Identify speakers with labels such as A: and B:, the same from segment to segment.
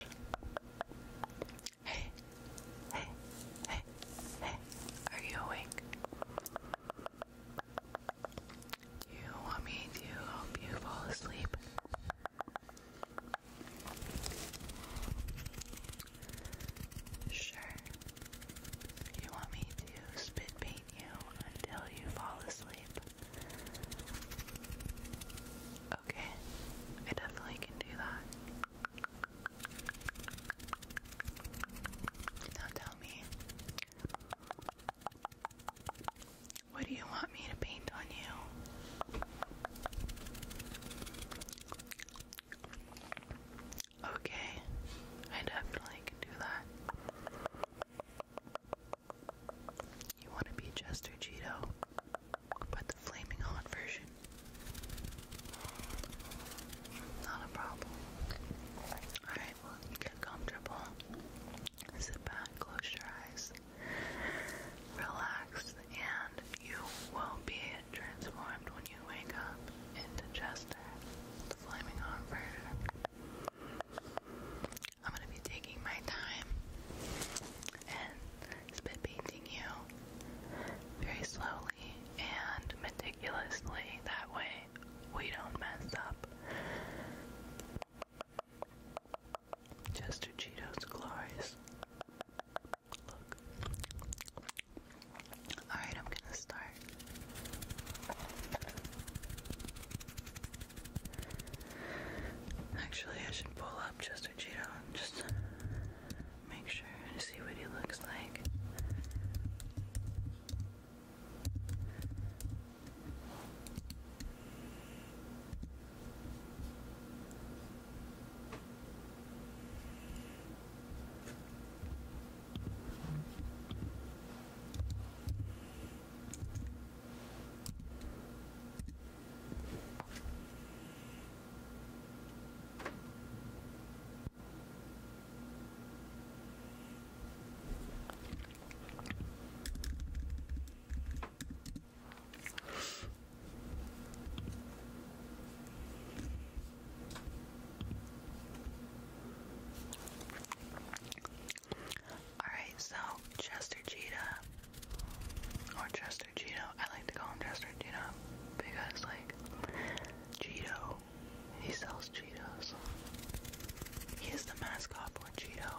A: Hey, hey, hey, hey, are you awake? You want me to help you fall asleep? Sure. You want me to spit paint you until you fall asleep? Okay, I definitely can do that. Now tell me, what do you want me to paint on you? Okay, I definitely can do that. You want to be Chester Cheeto? But the flaming hot version, not a problem. Alright, well, get comfortable. Sit back, close your eyes, relax, and you will be transformed when you wake up into Chester, the flaming hot version. I'm gonna be taking my time and has been painting you very slowly and meticulously. That way we don't mess up. Chester Cheetos Glories. Look. Alright, I'm gonna start. Actually, I should pull up just and just make sure to see what he looks like. Alright, so Chester Cheetah or Cheeto. I like to call him Chester Cheeto because, like, Cheeto, he sells Cheetos. He is the mascot for Cheeto.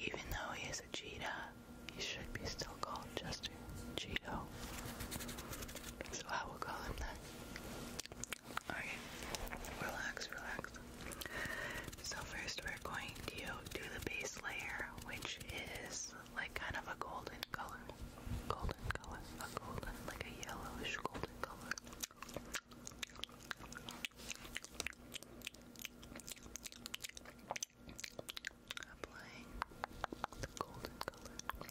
A: Even though he is a cheetah, he should be still called Chester Cheeto. So I will call him that. Alright, relax, relax. So first we're going to do the base layer, which is like kind of a golden color. Golden color. A golden, like a yellowish golden color. Applying the golden color.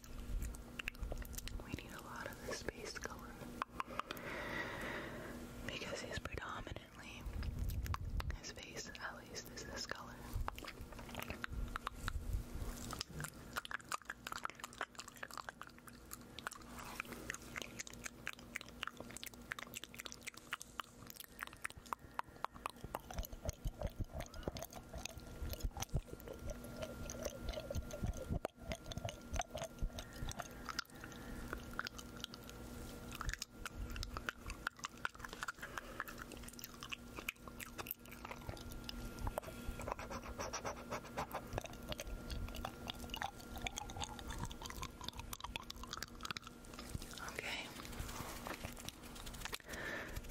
A: We need a lot of this base color because he's predominantly his face at least is this color. Okay.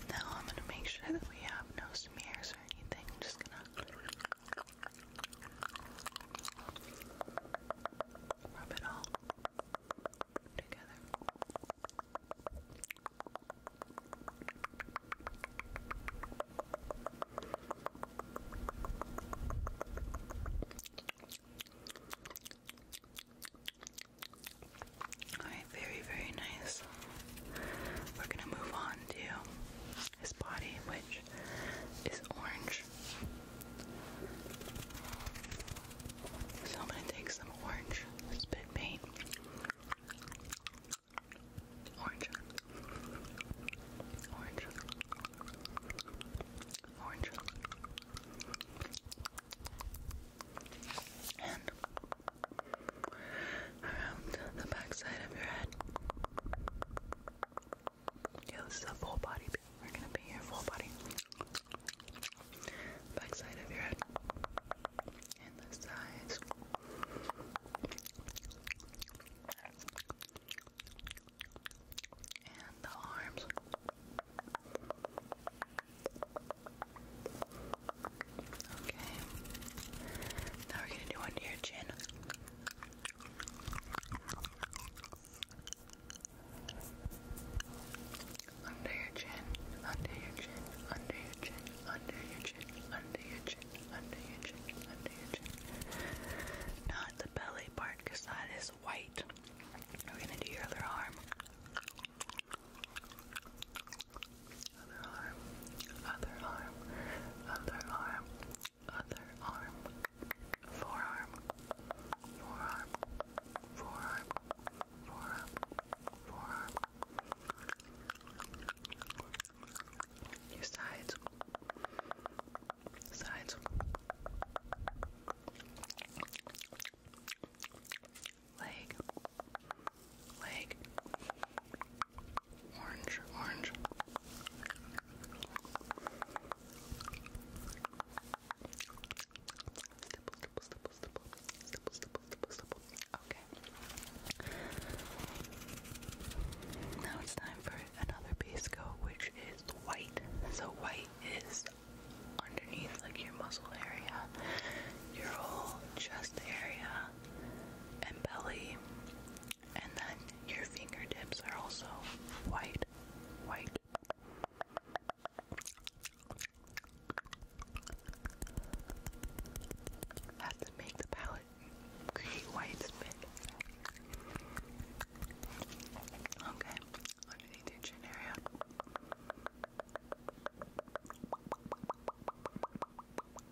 A: Now I'm going to make sure that we have no smears or anything. I'm just going to Alright, very, very nice. We're gonna move on to his body, which is orange. So I'm gonna take some orange spit paint. Orange. Orange. Orange. And around the back of your head. Yeah, this is a full body. We're gonna be your full body. Back of your head. And the sides. And the arms. Okay. Now we're gonna do under your chin. Under your chin, under your chin, under your chin, under your chin, under your chin, under your chin, under your chin. Not the belly part because that is white. We're gonna do your other arm. Other arm. Other arm. Other arm. Other arm. Forearm. Forearm. Forearm. Forearm. Forearm. Your sides. Sides. Leg leg, orange, orange. Okay. Now it's time for another base coat, which is white. So white is underneath, like your muscle area, your whole chest area, and belly, and then your fingertips are also white, white. Has to make the palette create white spit. Okay, underneath your chin area.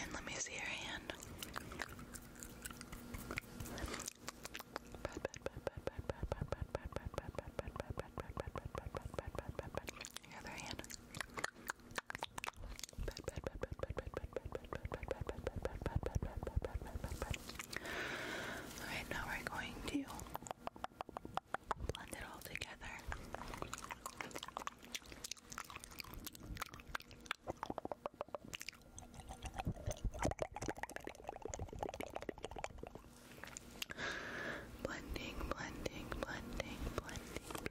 A: And let me see your hand. Your other hand. Alright, now we're going to blend it all together. Blending, blending, blending, blending,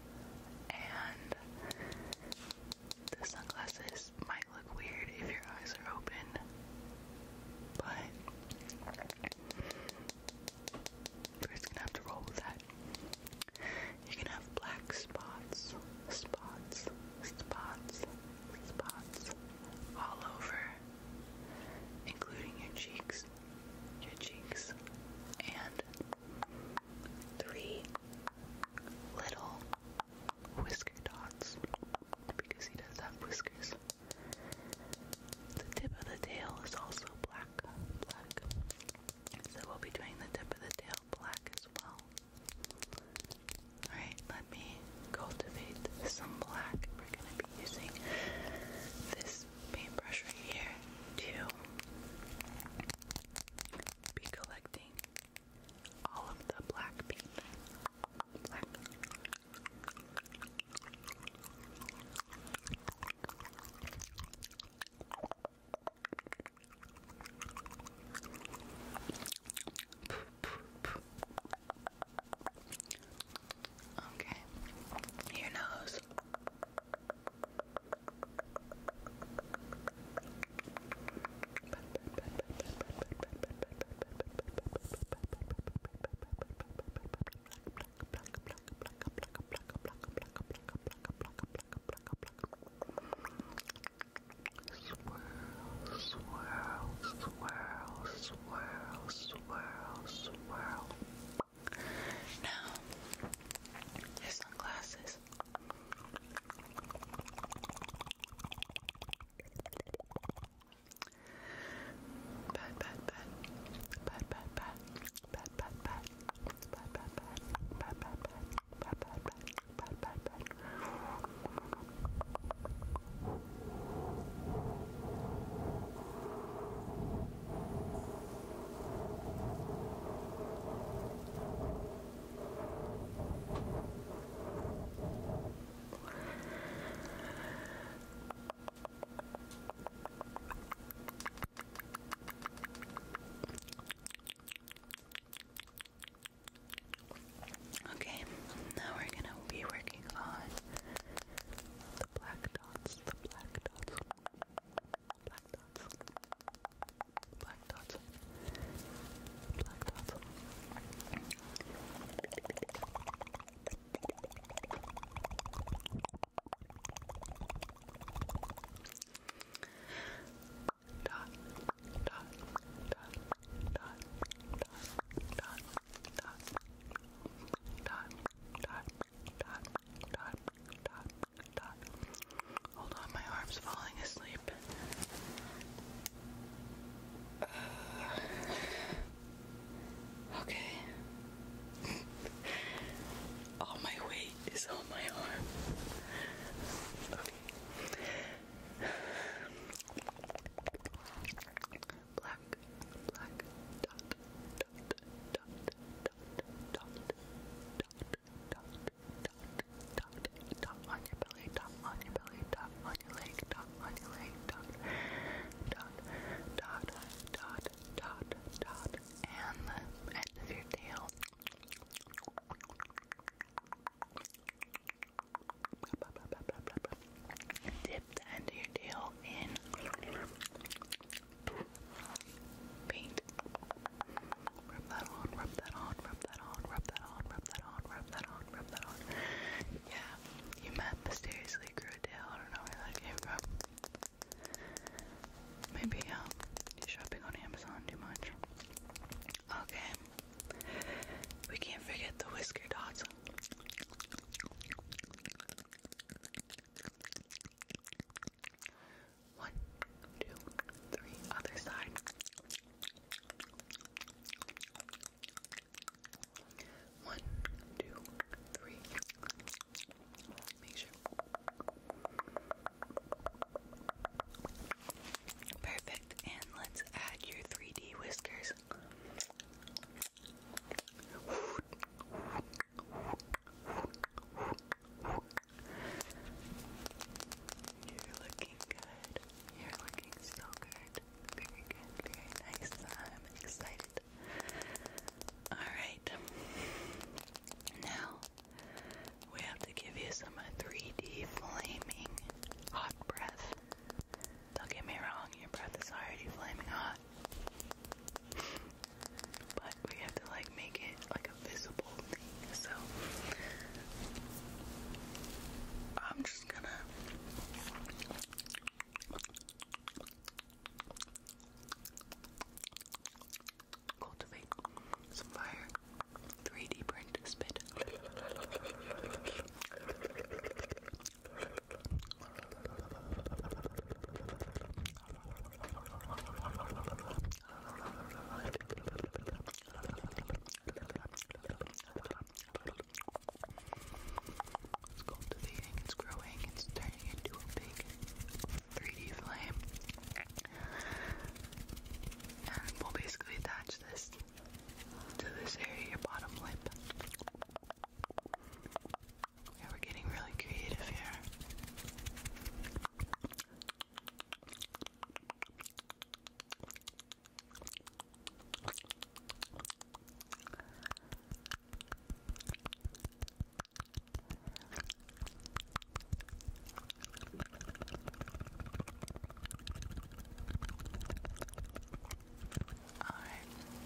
A: and the sunglasses might look weird if your eyes are open, but we're just gonna have to roll with that. You can have black spots, spots, spots, spots all over, including your cheeks, your cheeks, and three little whisker dots because he does have whiskers. The tip of the tail is also black, black. So we'll be doing the tip of the tail black as well. Alright, let me cultivate some black. We're going to be using this paintbrush right here to be collecting all of the black pink. Okay, your nose swirl, swirl, swirl, swirl, swirl. Now, your sunglasses. Pat, pat, pat, pat, pat, pat, pat, pat, pat, pat, pat, pat, pat, pat, pat, pat, pat, pat, pat, pat. Okay, now we're gonna be working on the black dots, the black dots, black dots, black dots, black dots. Dot, dot, dot, dot, dot, dot, dot, dot, dot. Hold on, my arm's falling asleep. Uh, okay. All my weight is on my arm. Black, black, dot, dot, dot, dot, dot, dot, dot on your belly, dot on your belly, dot on your leg, dot on your leg, dot, dot, dot, dot, dot, dot, and the end of your tail. Dip the end of your tail in paint. Rub that on, rub that on, rub that on, rub that on, rub that on, rub that on, rub that on. Yeah, you met mysteriously grew a I don't know where that came from. Maybe um, you're shopping on Amazon too much. Okay, we can't forget the whisker dots. One, two, three, other side. One, two, three. Make sure. Perfect. And let's add your 3D whiskers. You're looking good. You're looking so good. Very good. Very nice. I'm excited. Alright. Now we have to give you some 3D flaming hot breath. Don't get me wrong, your breath is already flaming hot but we have to like make it like a visible thing. So I'm just gonna cultivate some fire. 3D print spit. It's cultivating, it's growing, it's turning into a big 3D flame. And we'll basically attach this to this area, your bottom lip we're getting really creative here. All right.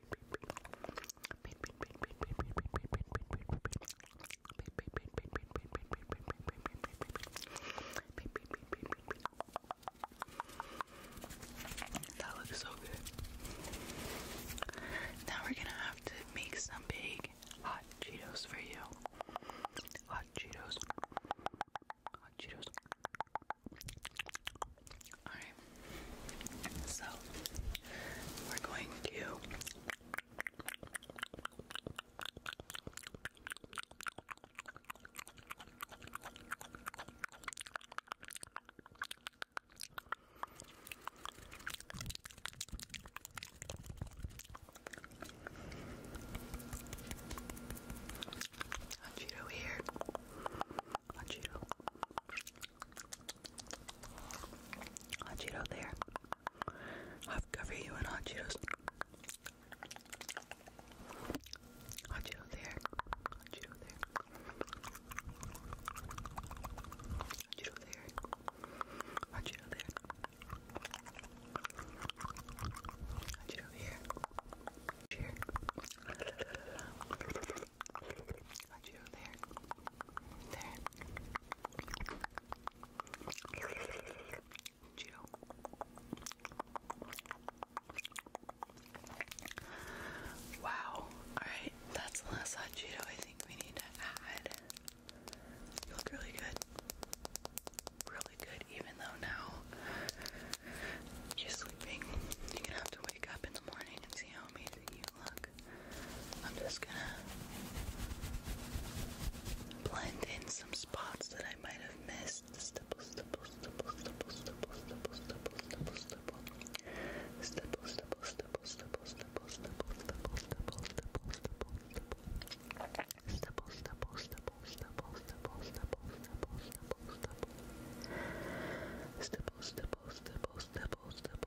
A: That looks so good. Now we're gonna have to make some big hot Cheetos for you. Hot Cheetos. Hot Cheetos. Alright, so we're going to I want you Hachiro. Hachiro there. I've covered you in Hachiro's. Hachiro there. Hachiro there. Hachiro there. Hachiro there. Hachiro here. Here. Got there. There. Cheeto. Wow. Alright, that's the last hot I think we need to add. You look really good. Really good, even though now you're sleeping. You're gonna have to wait wake up in the morning and see how amazing you look. I'm just gonna blend in some spots that I might have missed. Stipple, stipple, stipple, stipple, stipple, stipple, stipple, stipple, stipple. Stipple, stipple, stipple, stipple, stipple, stipple, stipple, stipple, stipple, stipple. Stipple, stipple, stipple, stipple, stipple, stipple, stipple, stipple, stipple. Stipple, stipple, stipple, stipple, stipple.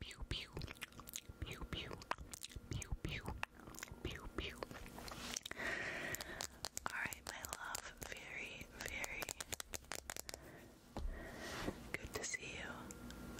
A: Pew pew pew pew pew pew pew pew. Alright, my love. Very, very good to see you.